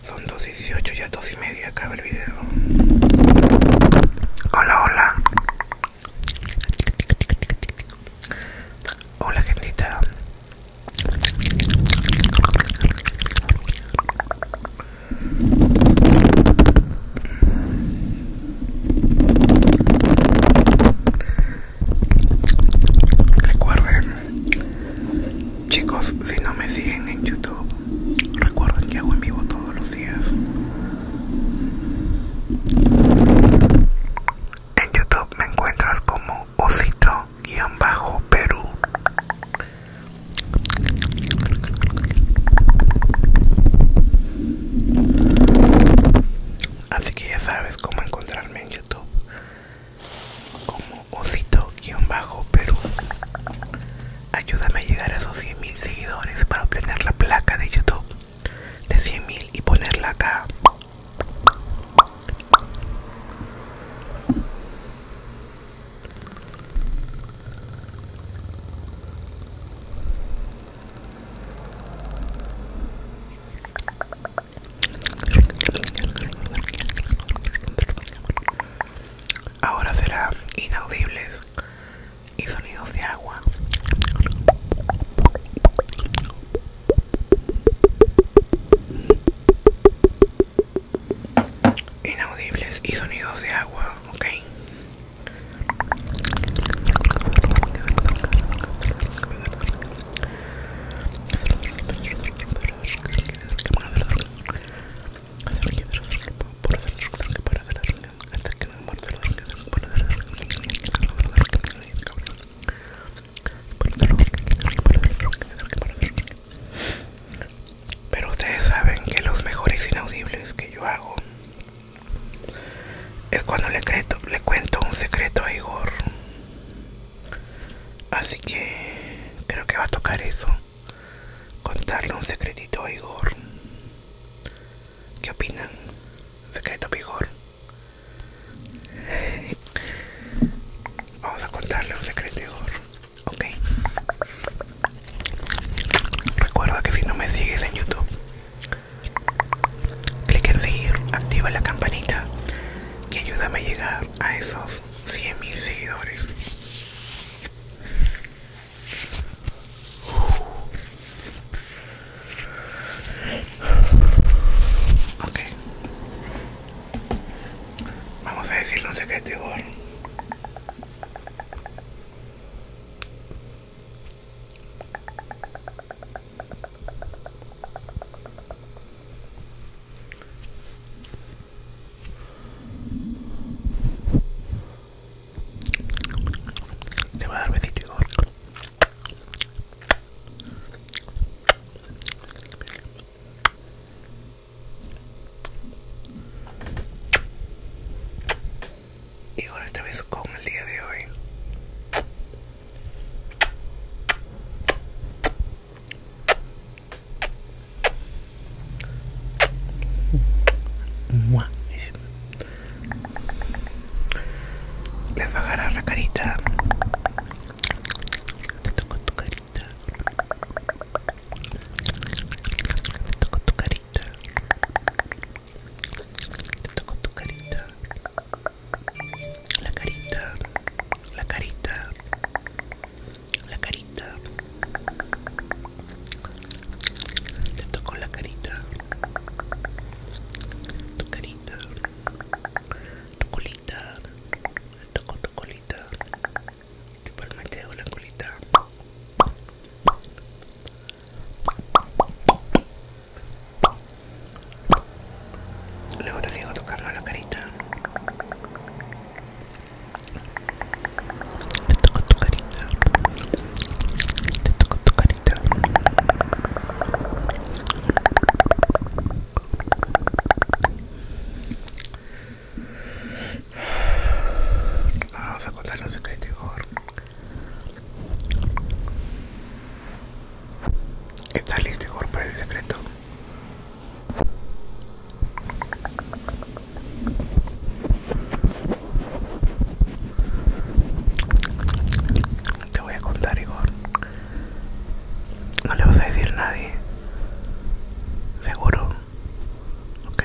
Son 2.18 ya dos y media acaba el video. Hola, hola. Hola gente. Recuerden Chicos, si no me siguen en YouTube, recuerden que hago en vivo todos los días. En YouTube me encuentras como osito-perú. Así que ya sabes cómo encontrarme en YouTube como guión bajo perú Ayúdame a llegar a esos mil seguidores para obtener la placa de YouTube de mil y ponerla acá. Ahora será inaudibles y sonidos de agua. Inaudibles y sonidos de agua, ok. Pero ustedes saben que los mejores inaudibles que yo hago es cuando le, cuento un secreto a Igor Así que creo que va a tocar eso. Contarle un secretito a Igor. ¿Qué opinan? Secreto a Igor. Vamos a contarle un secreto a Igor. Ok. Recuerda que si no me sigues en YouTube, clic en seguir, activa la campanita y ayúdame a llegar a esos 100.000 seguidores. Uh. Ok. Vamos a decir un secreto te voy a dar besito, Y ahora este beso con el día de hoy. Les va a la carita. Te toco tu carita. Te toco tu carita. Te toco tu carita la carita, la carita, la carita. Le toco la carita, tu carita, tu colita, le toco tu colita, te palmeteo la colita. Luego te sigo tocando la carita. Te toco tu carita. Te toco tu carita. Vamos a contar un secreto, ¿Estás listo, Igor, para el secreto? Te voy a contar, Igor. No le vas a decir a nadie. Seguro. Ok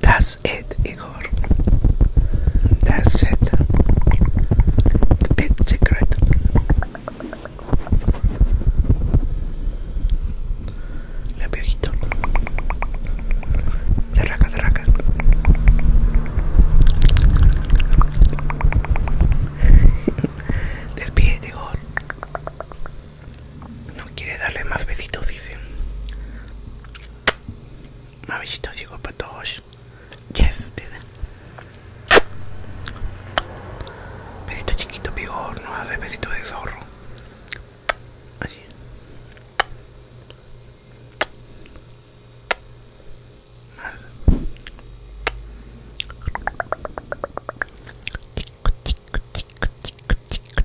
That's it, Igor. That's it. The big secret. La piojito. Derraca, derraca. Despide, Igor. No quiere darle más besitos, dice. Un besito para todos. Yes, Besito chiquito, no besito de zorro. Así.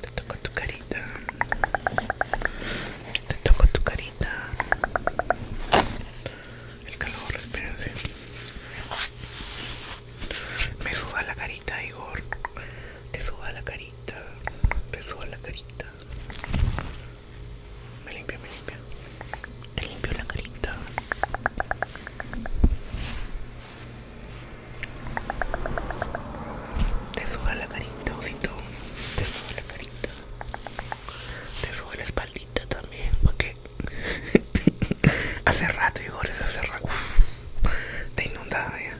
Te toco tu carita. Te toco tu carita. El calor, espérense. Me suba la carita, Igor. Te suba la carita. Me suba la carita. Me limpio, me limpio Te limpio la carita. Te sube la carita, osito. Te sube la carita. Te sube la espaldita también. Porque hace rato, ahora hace rato. te inundaba ya.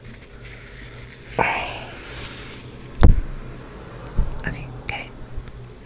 Así ¿qué?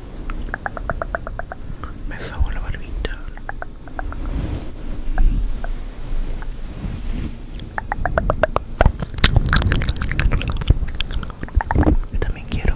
Me fago la barbita. Yo también quiero.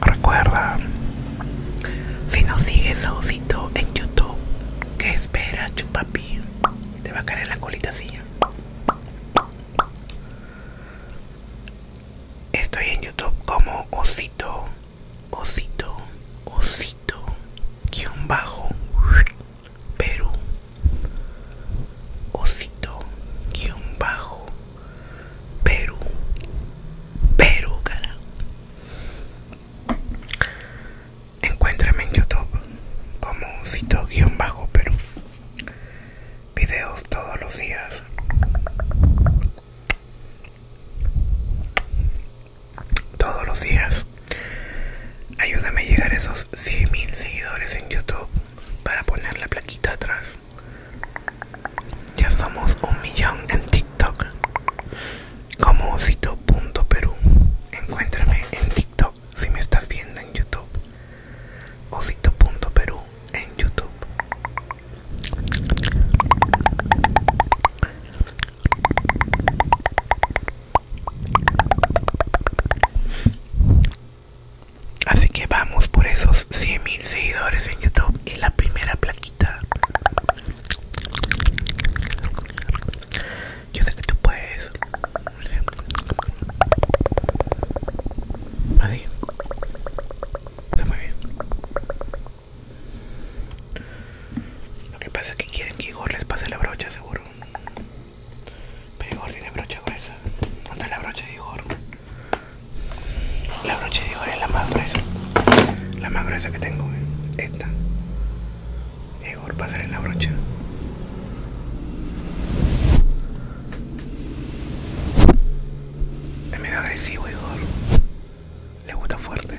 Recuerda, si no sigues a Osito en YouTube, ¿qué espera, chupapi? Te va a caer la colita así. Estoy en YouTube como Osito, Osito, Osito, Kionbajo, bajo, Perú. Osito, Kionbajo. bajo, Perú, Perú, cara. Encuéntrame en YouTube como Cito-Perú. Videos todos los días. Todos los días. Ayúdame a llegar a esos 100.000 seguidores en YouTube para poner la plaquita atrás. Ya somos un millón en TikTok. Como osito.peru. Encuéntrame en TikTok si me estás viendo en YouTube. Osito.peru en YouTube. Así que vamos por esos 100 mil seguidores en YouTube y la primera plaquita. Yo sé que tú puedes. Así. Está muy bien. Lo que pasa es que quieren que Igor les pase la brocha, seguro. Pero Igor tiene brocha gruesa. ¿Dónde la brocha de Igor? La brocha de es la más gruesa. La más gruesa que tengo, eh. esta, esta. Mejor pasar en la brocha. Es medio agresivo, Igor. Le gusta fuerte.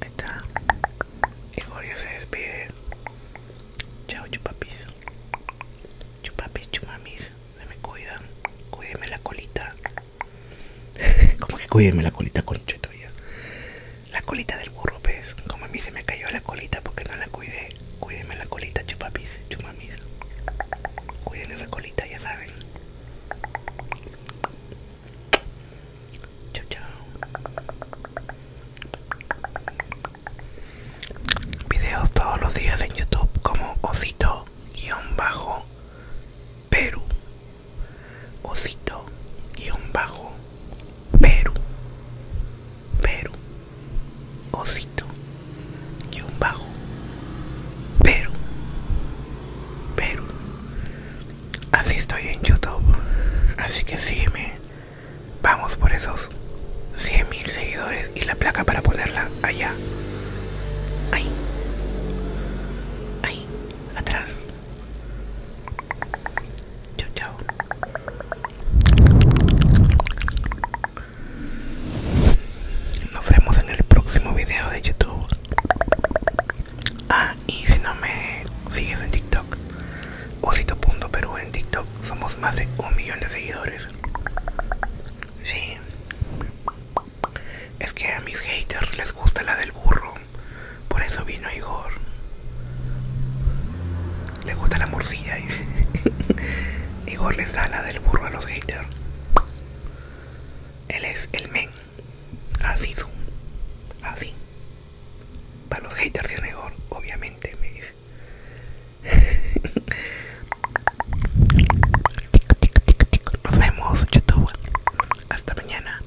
Ahí está. Gregorio se despide. Chao, chupapis. Chupapis, chumamis. Se me cuidan. Cuídeme la colita. ¿Cómo que cuídeme la colita, conchetuya. La colita del burro, pez. Pues. Como a mí se me cayó la colita porque no la cuidé. Cuídenme la colita, chupapis, chumamis. Cuiden esa colita, ya saben. Chao, chao. Videos todos los días en YouTube como Osito guión bajo Perú. Osito guión bajo Perú. Perú osito un bajo pero pero así estoy en youtube así que sígueme vamos por esos 100 mil seguidores y la placa para ponerla allá ahí ahí atrás Chau chao nos vemos en el próximo video de YouTube. Ah, y si no me sigues en TikTok, osito.peru en TikTok, somos más de un millón de seguidores. Sí. Es que a mis haters les gusta la del burro. Por eso vino Igor le gusta la morcilla y Igor les da la del burro a los haters. Él es el men. Así Así. Para los haters y Igor, obviamente, me dice. Nos vemos, YouTube. Hasta mañana.